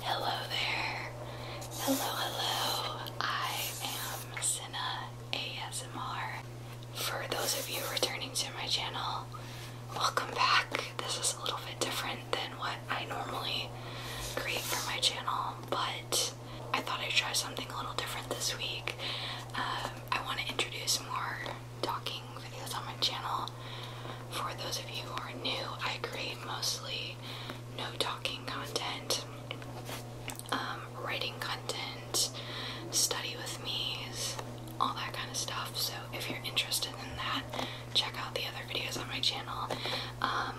Hello there. Hello, hello. I am Cinna ASMR. For those of you returning to my channel, welcome back. This is a little bit different than what I normally create for my channel, but I thought I'd try something a little different this week. Um, I want to introduce more talking videos on my channel. For those of you who are new, I create mostly no talking content, um, writing content, study with me's, all that kind of stuff. So if you're interested in that, check out the other videos on my channel. Um,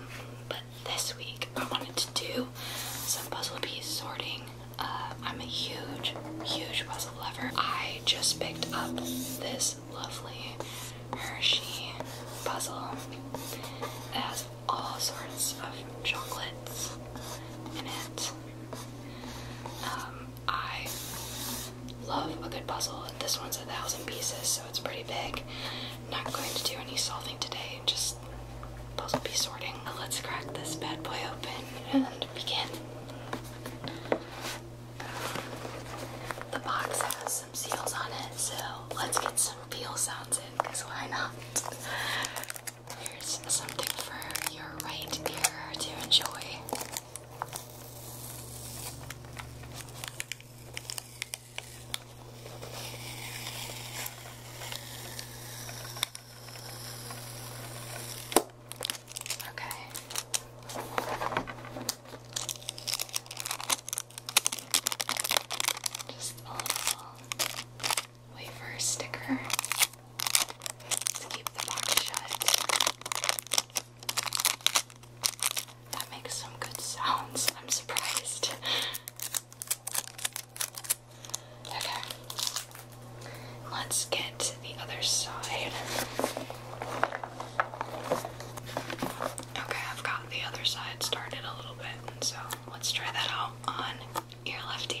but this week I wanted to do some puzzle piece sorting. Um, I'm a huge, huge puzzle lover. I just picked up this lovely Hershey puzzle that has all sorts of chocolates in it. Um, I love a good puzzle. This one's a thousand pieces, so it's pretty big. Not going to do any solving today, just puzzle piece sorting. Let's crack this bad boy open and begin. The box has some seals on it, so let's get some peel sounds in, because why not? Here's something for your right ear to enjoy. Okay. Just a little wafer sticker to keep the box shut. That makes some good sounds. I'm surprised. okay. Let's get to the other side. Okay, I've got the other side started a little bit, so let's try that out on your left ear.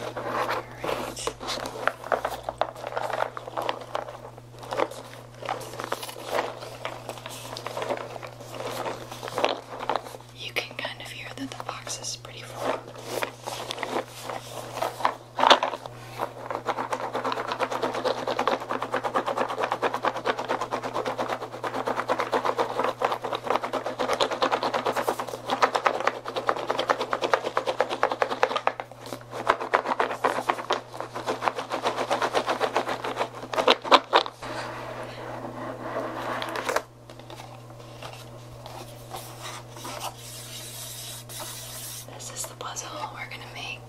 Alright. You can kind of hear that the box is pretty full. This is the puzzle we're going to make.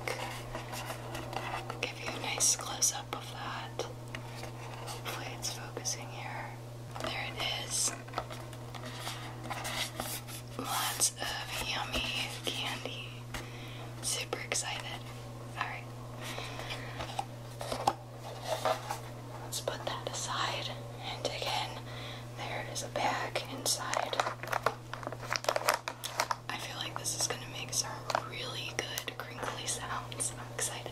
I'll give you a nice close up of that. Hopefully, it's focusing here. There it is. Lots of yummy candy. Super excited. Alright. Let's put that aside. And again, there is a bag inside. I feel like this is going to make some really good crinkly sounds. I'm excited.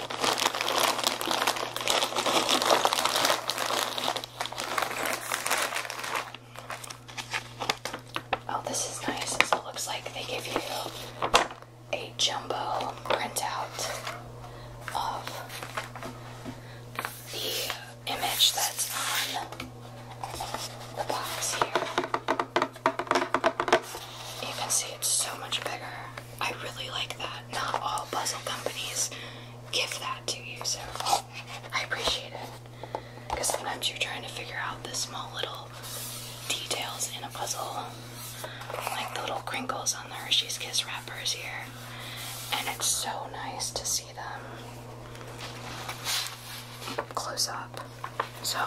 Oh, this is nice. it looks like they give you a jumbo printout of the image that's on the box here. You can see it's so much bigger. I really like that. Not all puzzle companies give that to you, so I appreciate it. Because sometimes you're trying to figure out the small little details in a puzzle, like the little crinkles on the Hershey's Kiss wrappers here, and it's so nice to see them close up. So,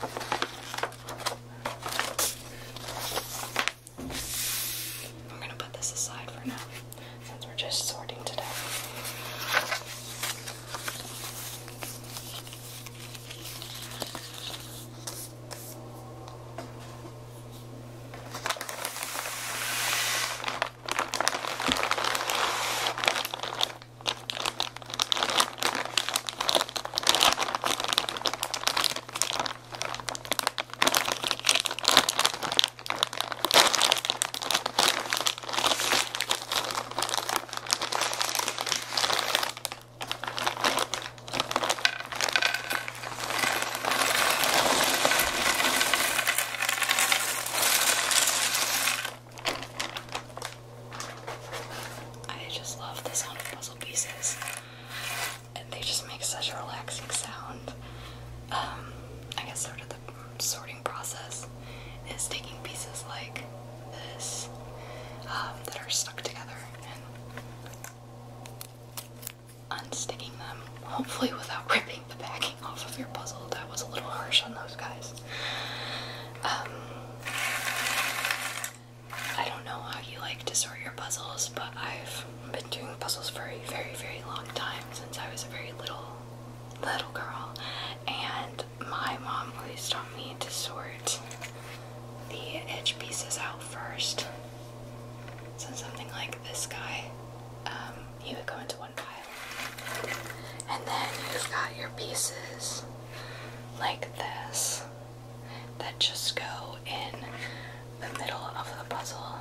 I'm gonna put this aside for now since we're just sorting today. I just love the sound of puzzle pieces they just make such a relaxing sound. Um, I guess sort of the sorting process is taking pieces like this um, that are stuck together and unsticking them, hopefully without ripping the backing off of your puzzle. That was a little harsh on those guys. Um, I don't know how you like to sort your puzzles, but I've been doing puzzles for a very, very long time since I was a very little little girl. And my mom always taught me to sort the edge pieces out first. So something like this guy, um, he would go into one pile. And then you've got your pieces like this that just go in the middle of the puzzle.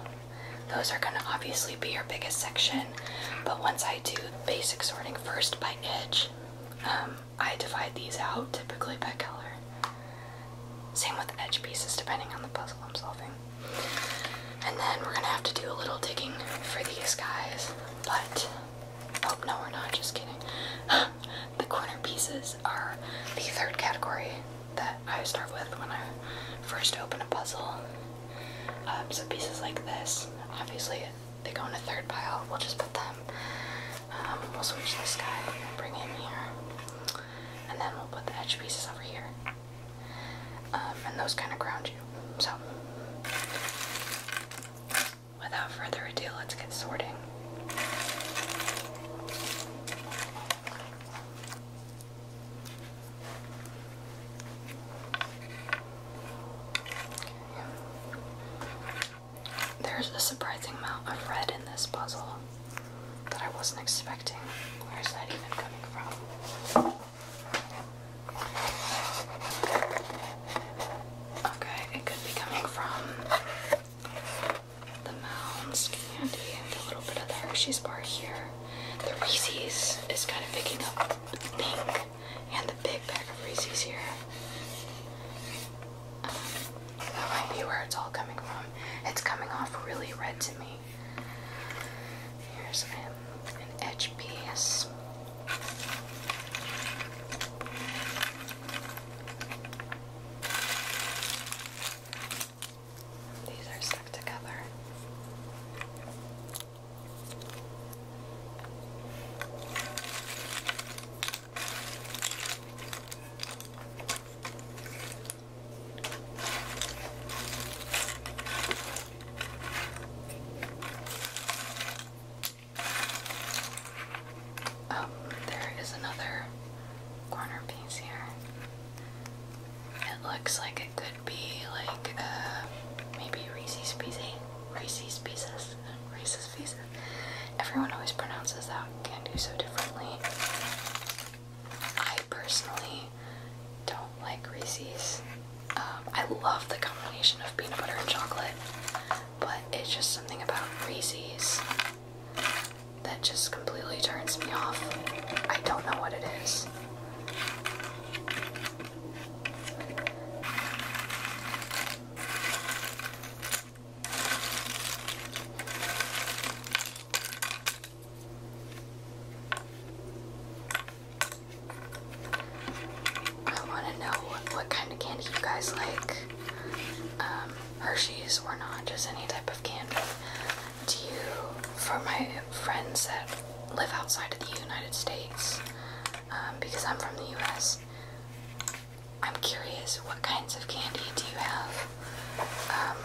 Those are going to obviously be your biggest section, but once I do basic sorting first by edge, um, I divide these out typically by color. Same with edge pieces, depending on the puzzle I'm solving. And then we're going to have to do a little digging for these guys, but oh no, we're not, just kidding. the corner pieces are the third category that I start with when I first open a puzzle. Um, so pieces like this, obviously they go in a third pile. We'll just put them. Um, we'll switch this guy and bring him here, and then we'll put the edge pieces over here. Um, and those kind of ground you. So, without further ado, let's get sorting. There's a surprising amount of red in this puzzle that I wasn't expecting. Where is that even coming from? Okay, it could be coming from the Mounds candy and a little bit of the Hershey's bar here. The Reese's is kind of picking up pink and the big bag of Reese's here. Um, that might be where it's all coming from. It's coming off really red to me. Here's an edge piece. These are stuck together. Oh, there is another corner piece here. It looks like it could be like uh, maybe Reese's Pieces. Reese's Pieces. Reese's Pieces. Everyone always pronounces that can't do so differently. I personally don't like Reese's. Um, I love the combination of peanut butter and chocolate, but it's just something about Reese's that just completely turns me off. I don't know what it is. I want to know what, kind of candy you guys like. Um, Hershey's or not, just any type of candy. Do you, for my friends that live outside of the United States, um, because I'm from the US, I'm curious what kinds of candy do you have um,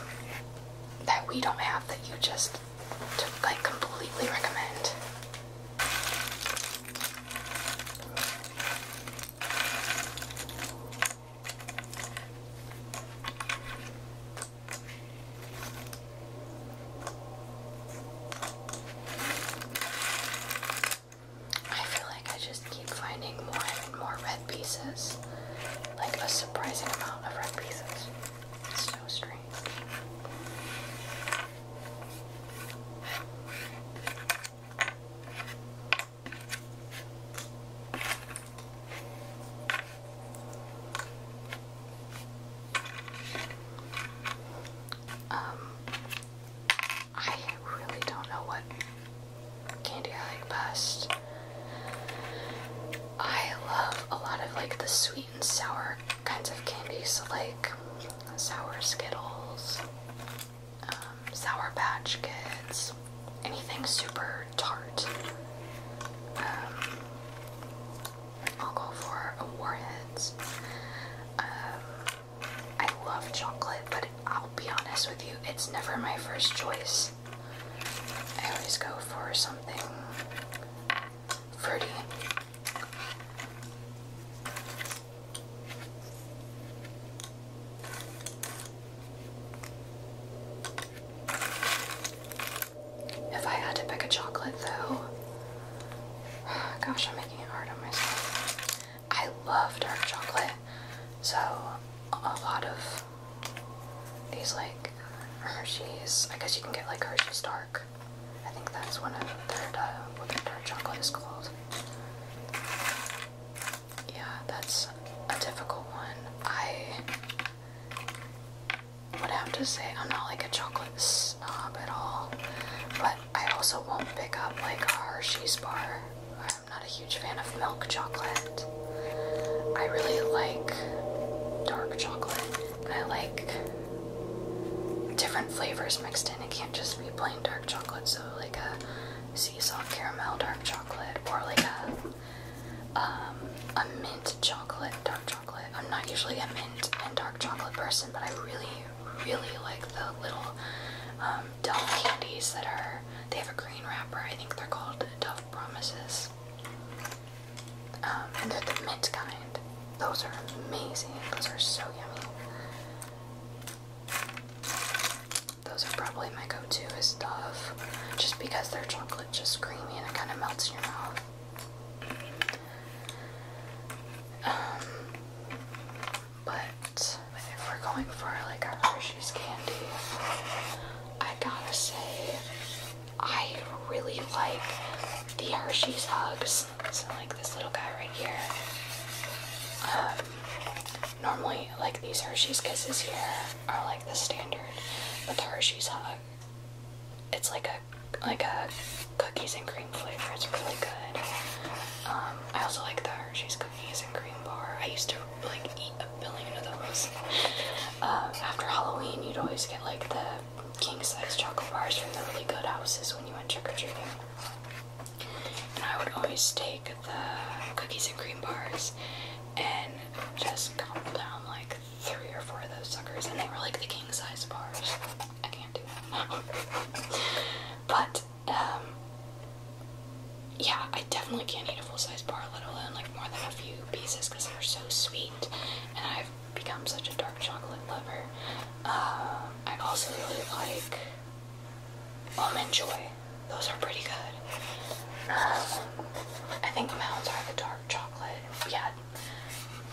that we don't have that you just like completely recommend? I feel like I just keep finding more and more red pieces. Like a surprising amount of red pieces. It's so strange. Um, I really don't know what candy I like best. I love a lot of like the sweet and sour kinds of candy, so like sour Skittles, um, Sour Patch Kids, anything super tart. Um, I'll go for Warheads. Um, I love chocolate, but I'll be honest with you, it's never my first choice. I always go for something fruity. If I had to pick a chocolate though, gosh, I'm making it hard on myself. I love dark chocolate, so a lot of these like Hershey's, I guess you can get like Hershey's dark. I think that's one of their, uh, what their dark chocolate is called. Yeah, that's a difficult one. I would have to say I'm not like a chocolate snob at all, but I also won't pick up like a Hershey's bar. I'm not a huge fan of milk chocolate. I really like dark chocolate, I like different flavors mixed in. It can't just be plain dark chocolate, so like a sea salt caramel dark chocolate, or like a um, a mint chocolate, dark chocolate. I'm not usually a mint and dark chocolate person, but I really, really like the little um, Dove candies that are, they have a green wrapper. I think they're called Dove Promises. Um, and they're the mint kind. Those are amazing. Those are so yummy. Those are probably my go-to is stuff, just because they're chocolate just creamy and it kind of melts in your mouth. Um, but if we're going for like our Hershey's candy, I gotta say I really like the Hershey's hugs. So like this little guy right here. Um, Normally, like these Hershey's Kisses here are like the standard, but the Hershey's Hug, it's like a like a cookies and cream flavor. It's really good. Um, I also like the Hershey's cookies and cream bar. I used to like eat a billion of those. Um, after Halloween, you'd always get like the king size chocolate bars from the really good houses when you went trick or treating. And I would always take the cookies and cream bars and just gobbled down like three or four of those suckers, and they were like the king size bars. I can't do that. but, um, yeah, I definitely can't eat a full size bar, let alone like more than a few pieces because they're so sweet, and I've become such a dark chocolate lover. Uh, I also really like Almond Joy. Those are pretty good. Um, I think Mounds are the dark chocolate. Yeah,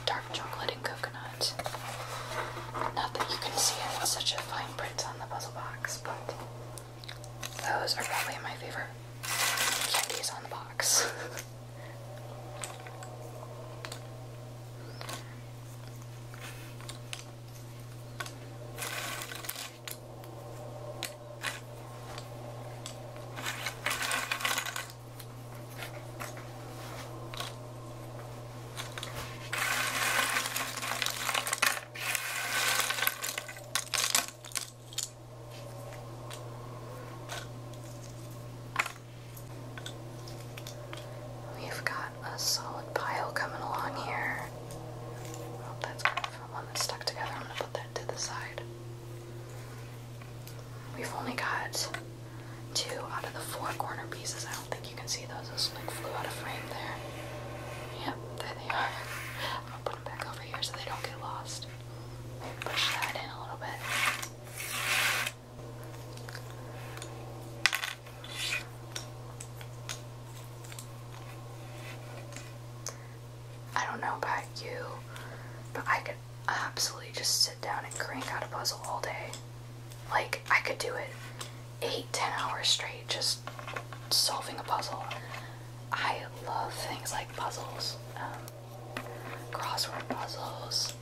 dark chocolate and coconut. Not that you can see it, it's such a fine print on the puzzle box, but those are probably my favorite candies on the box. We've got a solid pile coming along here one that's stuck together. I'm gonna put that to the side. We've only got two out of the four corner pieces. I don't think you can see those. Those like flew out of frame there. Yep, there they are. I'm gonna put them back over here so they don't get lost. push that in a little bit. I don't know about you, but I could absolutely just sit down and crank out a puzzle all day. Like, I could do it eight, ten hours straight just solving a puzzle. I love things like puzzles, um, crossword puzzles,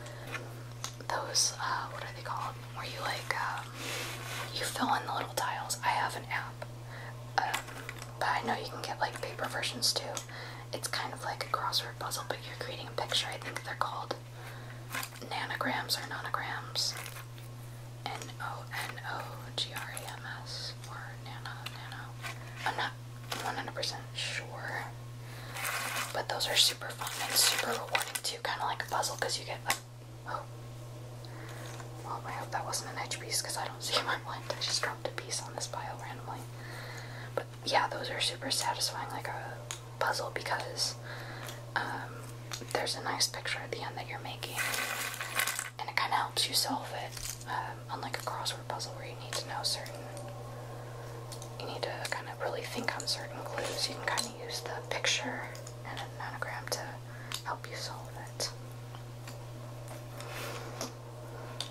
those, uh, what are they called? Where you like, um, you fill in the little tiles. I have an app up. Um, but I know you can get like paper versions too. It's kind of like a crossword puzzle, but you're creating a picture. I think they're called nanograms or nonograms. N O N O G R A M S or nano nano. I'm not 100% sure, but those are super fun and super rewarding too. Kind of like a puzzle because you get like, oh, um, I hope that wasn't an edge piece because I don't see my blend. I just dropped a piece on this pile randomly. But yeah, those are super satisfying, like a puzzle, because um, there's a nice picture at the end that you're making, and it kind of helps you solve it. unlike um, a crossword puzzle where you need to know certain, you need to kind of really think on certain clues, you can kind of use the picture and an anagram to help you solve it.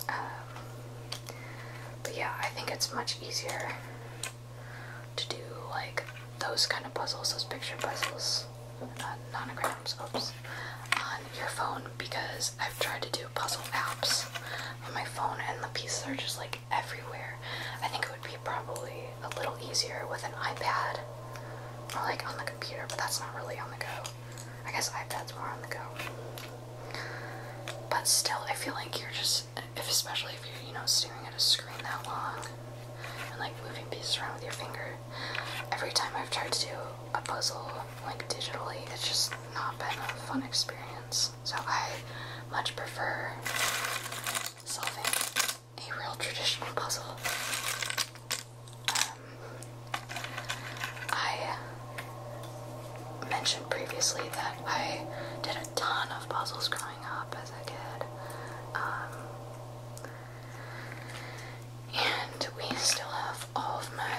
Um, but yeah, I think it's much easier to do like those kind of puzzles, those picture puzzles, not nonograms, oops, on your phone because I've tried to do puzzle apps on my phone and the pieces are just like everywhere. I think it would be probably a little easier with an iPad or like on the computer, but that's not really on the go. I guess iPad's more on the go. But still, I feel like you're just, especially if you're, you know, staring at a screen that long and like moving pieces around with your finger. Every time I've tried to do a puzzle, like digitally, it's just not been a fun experience. So I much prefer solving a real traditional puzzle. I mentioned previously that I did a ton of puzzles growing up as a kid. Um, and we still have all of my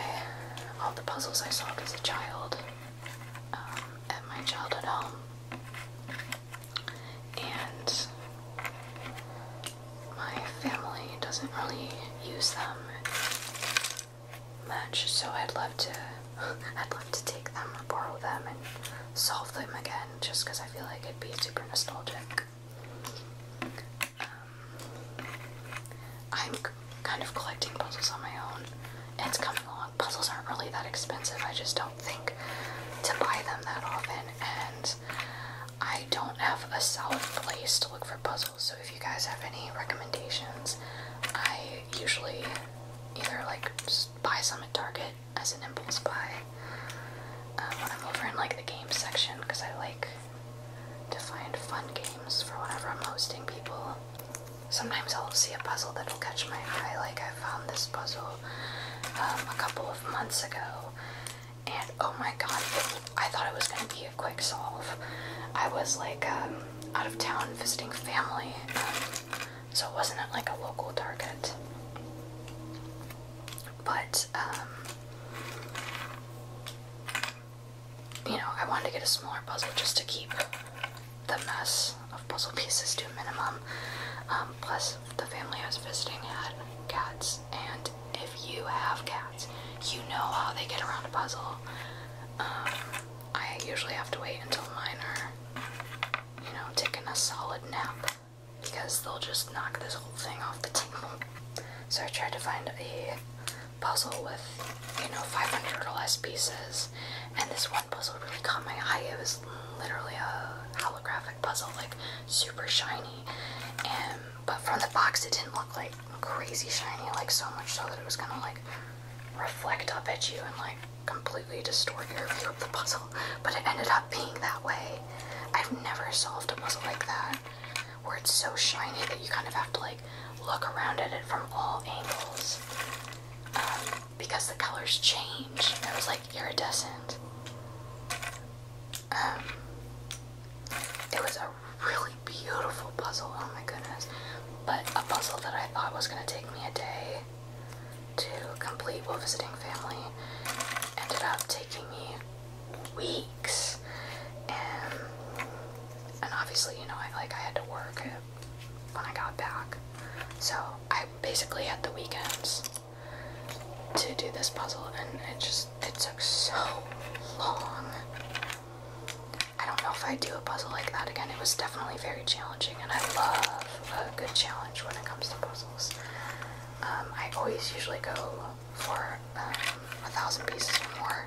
all the puzzles I solved as a child um, at my childhood home. And my family doesn't really use them much, so I'd love to I'd love to take them, borrow them, and solve them again, just because I feel like it'd be super nostalgic. Um, I'm kind of collecting puzzles on my own. It's coming along. Puzzles aren't really that expensive. I just don't think to buy them that often, and I don't have a solid place to look for puzzles, so if you guys have any recommendations, I usually either like buy some at Target as an impulse buy when um, I'm over in like the game section because I like to find fun games for whenever I'm hosting people. Sometimes I'll see a puzzle that'll catch my eye, like I found this puzzle um, a couple of months ago, and oh my god, I thought it was going to be a quick solve. I was like um, out of town visiting family, um, so wasn't it like a local Target. But, um, you know, I wanted to get a smaller puzzle just to keep the mess of puzzle pieces to a minimum. plus, the family I was visiting had cats, and if you have cats, you know how they get around a puzzle. Um, I usually have to wait until mine are, you know, taking a solid nap because they'll just knock this whole thing off the table. So I tried to find a puzzle with, you know, 500 or less pieces, and this one puzzle really caught my eye. It was literally a holographic puzzle, like super shiny, and but from the box it didn't look like crazy shiny, like so much so that it was gonna like reflect up at you and like completely distort your view of the puzzle. But it ended up being that way. I've never solved a puzzle like that where it's so shiny that you kind of have to like look around at it from all angles um, because the colors change. It was like iridescent. Um, it was really beautiful puzzle, oh my goodness. But a puzzle that I thought was going to take me a day to complete while visiting family ended up taking me weeks. And, and obviously, you know, I, like I had to work when I got back. So I basically had the weekends to do this puzzle and it just, it took so long. I don't know if I do a puzzle like that again. It was definitely very challenging, and I love a good challenge when it comes to puzzles. Um, I always usually go for um, a thousand pieces or more.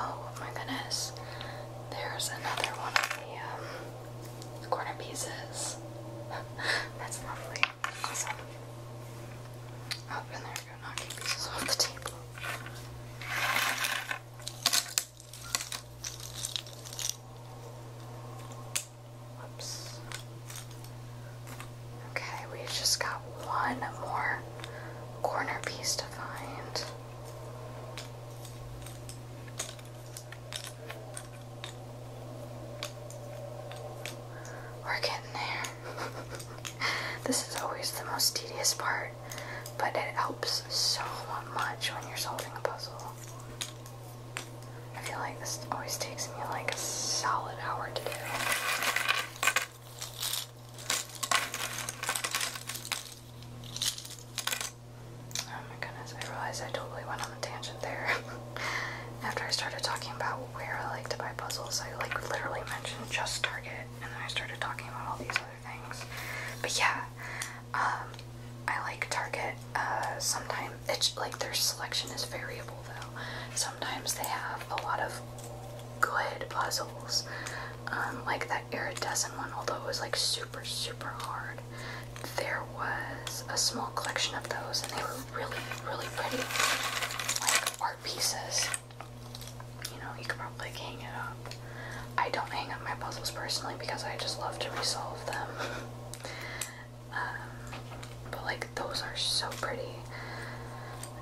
Oh my goodness, there's another one of the um, corner That's lovely. Awesome. Up oh, in there, go knocking pieces off the table. Okay, we just got one more corner piece to find. We're getting there. this is always the most tedious part, but it helps so much when you're solving a puzzle. I feel like this always takes me like a solid hour to do. Oh my goodness, I realized I totally went on the tangent there. After I started talking about where I like to buy puzzles, I like literally mentioned just Target and then I started talking about all these other things. But yeah, um, I like Target. Uh, sometimes it's like their selection is variable though. Sometimes they have a lot of good puzzles. Um, like that iridescent one, although it was like super super hard. There was a small collection of those, and they were really really pretty, like art pieces. You know, you could probably hang it up. I don't hang up my puzzles personally because I just love to resolve them. Um, but like those are so pretty.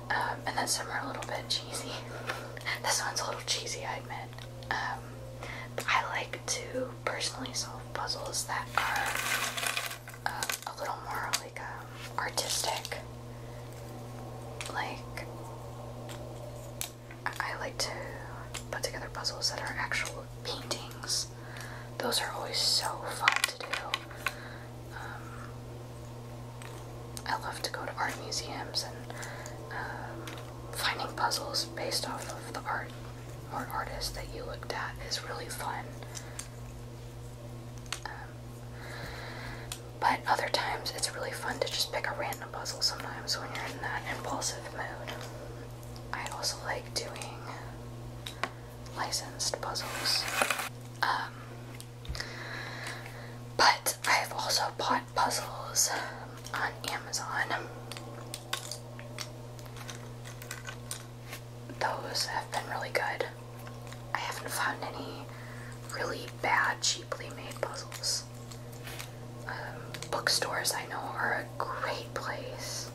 Um, and then some are a little bit cheesy. this one's a little cheesy, I admit. but um, I like to personally solve puzzles that are uh, a little more like artistic. Like I like to put together puzzles that are actual paintings those are always so fun to do. Um, I love to go to art museums and um, finding puzzles based off of the art or artist that you looked at is really fun. Um, but other times it's really fun to just pick a random puzzle sometimes when you're in that impulsive mood. I also like doing licensed puzzles. Um, but I've also bought puzzles on Amazon. Those have been really good. I haven't found any really bad, cheaply made puzzles. Um, bookstores I know are a great place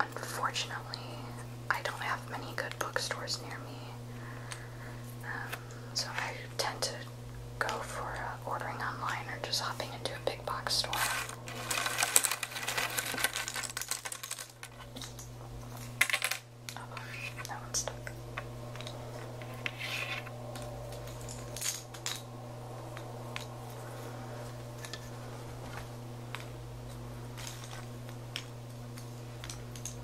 Unfortunately, I don't have many good bookstores near me, um, so I tend to go for uh, ordering online or just hopping into a big box store. Oh, that one's stuck.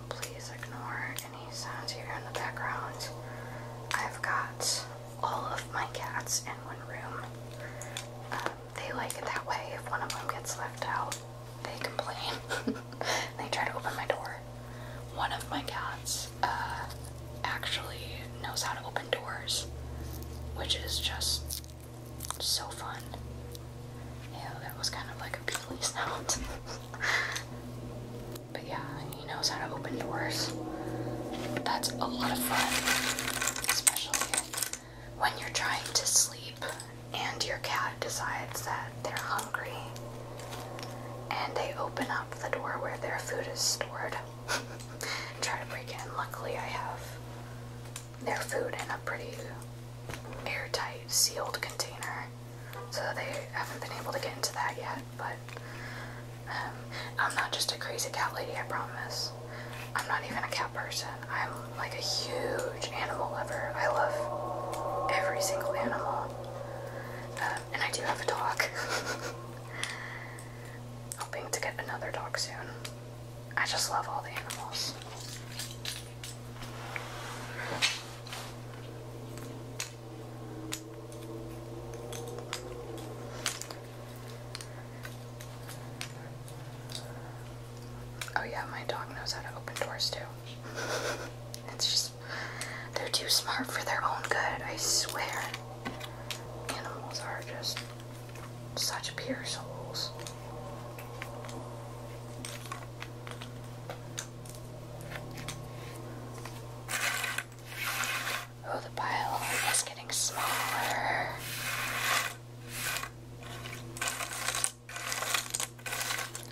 Please ignore any sounds you in the background. I've got all of my cats in one room. Um, they like it that way. If one of them gets left out, they complain. they try to open my door. One of my cats uh, actually knows how to open doors, which is just so fun. Yeah, that was kind of like a peely sound. but yeah, he knows how to open doors. That's a lot of fun, especially when you're trying to sleep and your cat decides that they're hungry and they open up the door where their food is stored and try to break in. Luckily, I have their food in a pretty airtight, sealed container. So they haven't been able to get into that yet, but um, I'm not just a crazy cat lady, I promise. I'm not even a cat person. I'm like a huge animal lover. I love every single animal. Um, and I do have a dog. Hoping to get another dog soon. I just love all the animals. Oh, yeah, my dog knows how to open doors too. It's just, they're too smart for their own good, I swear. Animals are just such pure souls. Oh, the pile is getting smaller.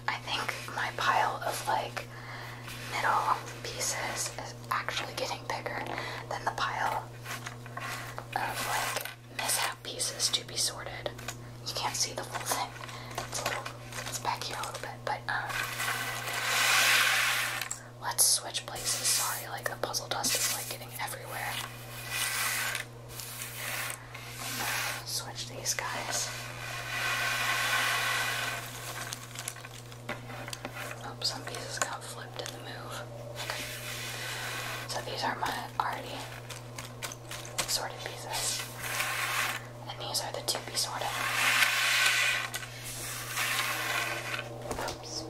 I think my pile of like middle pieces is actually getting bigger than the pile of like mishap pieces to be sorted. You can't see the whole thing. It's back here a little bit, but um, let's switch places. Sorry, like the puzzle dust is like getting everywhere. Switch these guys. Oops, some pieces go flipped in the move. So these are my already sorted pieces. And these are the two pieces. Oops.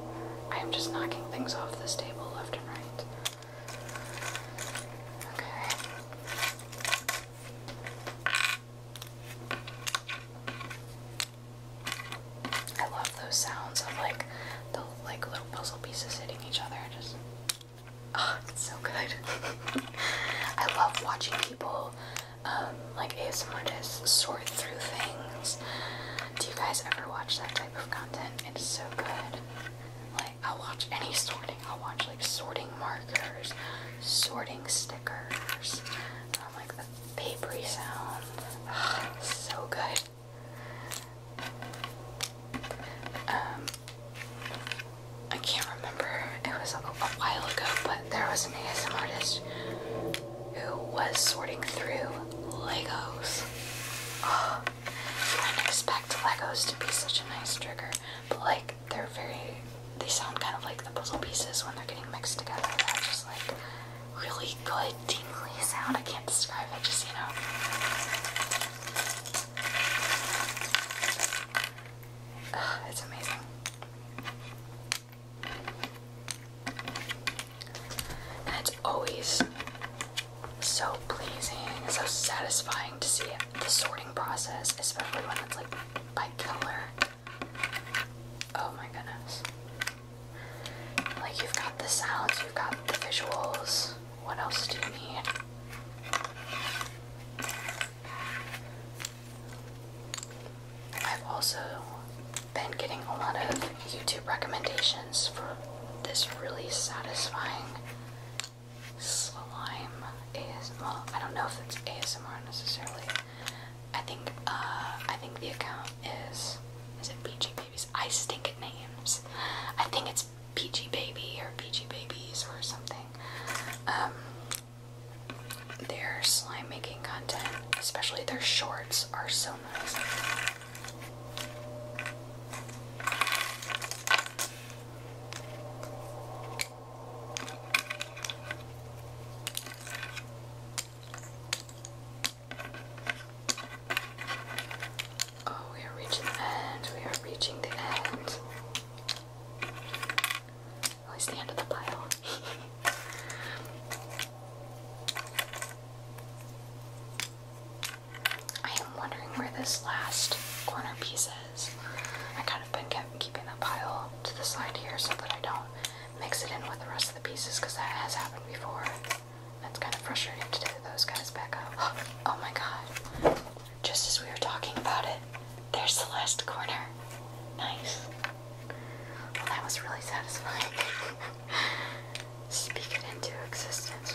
I am just knocking things off this table left and right. Okay. I love those sounds of like the like little puzzle pieces hitting each other. Just oh, it's so good. I love watching people um, like ASM just sort through things. Do you guys ever watch that type of content? It's so good. Like I'll watch any sorting. I'll watch like sorting markers, sorting stickers. Um, like the papery sound. Oh, so good. Um, I can't remember. It was a, while ago, but there was an ASM artist who was sorting through Legos. I expect Legos to be such a nice trigger, but like they're very. They sound kind of like the puzzle pieces when they're getting mixed together. That's just like really good like sound. I can't describe it, just you know. Ugh, it's amazing. And it's always so pleasing, so satisfying to see The sorting process, especially when it's like by color. Oh my goodness. Like, you've got the sounds, you've got the visuals, what else do you need? I've also been getting a lot of YouTube recommendations for this really satisfying slime ASMR. I don't know if it's ASMR necessarily. I think uh, I think the account is is it BGP? I stink at names. I think it's Peachy Baby or Peachy Babies or something. Um, their slime making content, especially their shorts, are so nice. Oh, we are reaching the end. We are reaching the end. At oh, the end of the pile. I am wondering where this last corner piece is. I kind of been keeping the pile to the side here so that I don't mix it in with the rest of the pieces because that has happened before. That's kind of frustrating to do those guys back up. Oh my god. Just as we were talking about it, there's the last corner. Nice. that was really satisfying. Speak it into existence.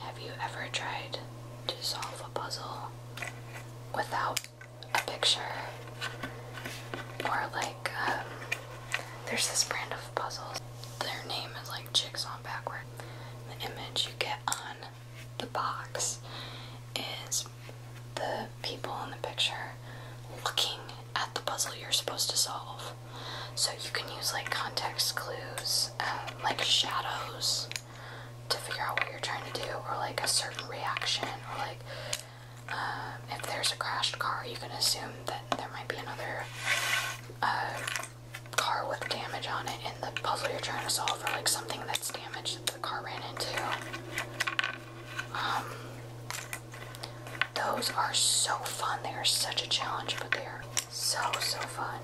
Have you ever tried to solve a puzzle without a picture? Or, like, um, there's this brand of puzzles. Their name is like Jigsaw Backward. The image you get on the box is the people in the picture looking at the puzzle you're supposed to solve. So you can use like context clues, um, like shadows, to figure out what you're trying to do, or like a certain reaction, or like um, if there's a crashed car, you can assume that there might be another uh, car with damage on it in the puzzle you're trying to solve, or like something that's damaged the car ran into. Um, those are so fun. They are such a challenge, but they are so, so fun.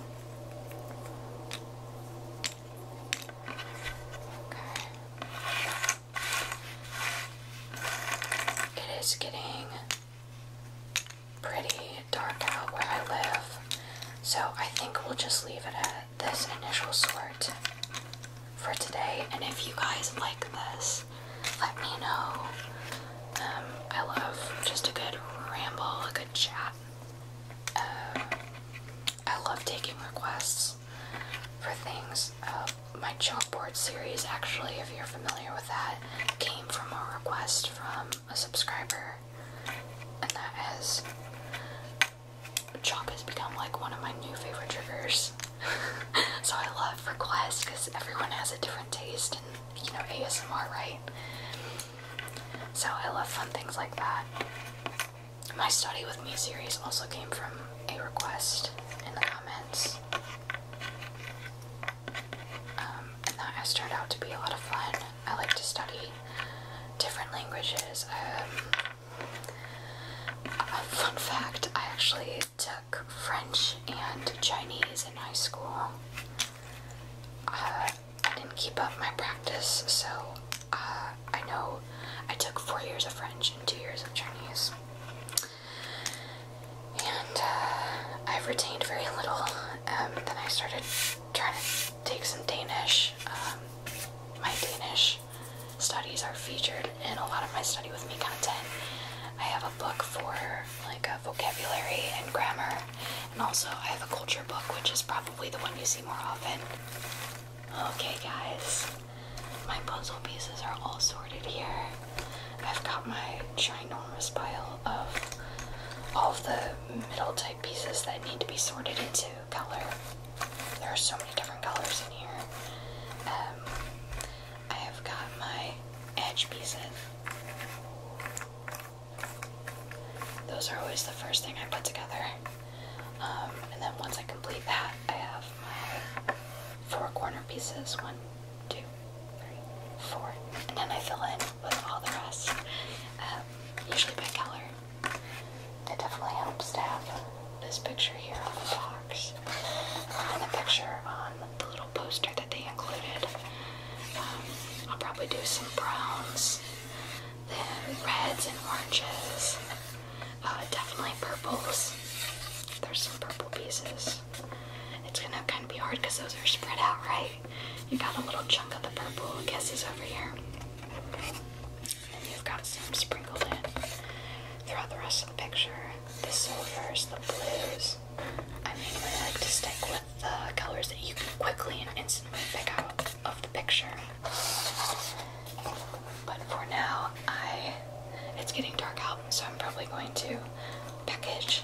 It is getting pretty dark out where I live, so I think we'll just leave it at this initial sort for today. And if you guys like this, let me know. Um, I love just a good ramble, chat. Um, I love taking requests for things. Uh, my chalkboard series, actually, if you're familiar with that, came from a request from a subscriber, and that has chalk has become like one of my new favorite triggers. so I love requests because everyone has a different taste in you know ASMR, right? So I love fun things like that. My Study With Me series also came from a request in the comments. Um, and that has turned out to be a lot of fun. I like to study different languages. Um, fun fact, I actually took French and Chinese in high school. Uh, didn't keep up my practice, so uh, I know I took four years of French and two years of Chinese. And uh, I've retained very little. Um, then I started trying to take some Danish. Um, my Danish studies are featured in a lot of my study with me content. I have a book for like a vocabulary and grammar and also, I have a culture book, which is probably the one you see more often. Okay, guys, my puzzle pieces are all sorted here. I've got my ginormous pile of all of the middle type pieces that need to be sorted into color. There are so many different colors in here. Um, I have got my edge pieces. Those are always the first thing I put together. Um, and then once I complete that, I have my four corner pieces one, two, three, four. And then I fill in with all the rest, um, usually by color. It definitely helps to have this picture here on the box and the picture on the little poster they included. Um, I'll probably do some browns, then reds and oranges, uh, definitely purples. There's some purple pieces. It's gonna kind of be hard because those are spread out, right? You got a little chunk of the purple, I guess, is over here. Then you've got some sprinkled in throughout the rest of the picture. The silvers, the blues. I mainly like to stick with the colors that you can quickly and instantly pick out of the picture. But for now, I it's getting dark out, so I'm probably going to package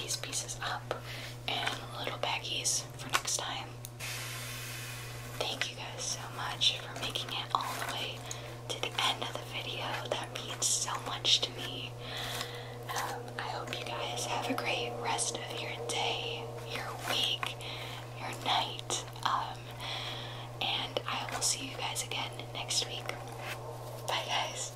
these pieces up in little baggies for next time. Thank you guys so much for making it all the way to the end of the video. That means so much to me. Um, I hope you guys have a great rest of your day, your week, your night, um, and I will see you guys again next week. Bye, guys.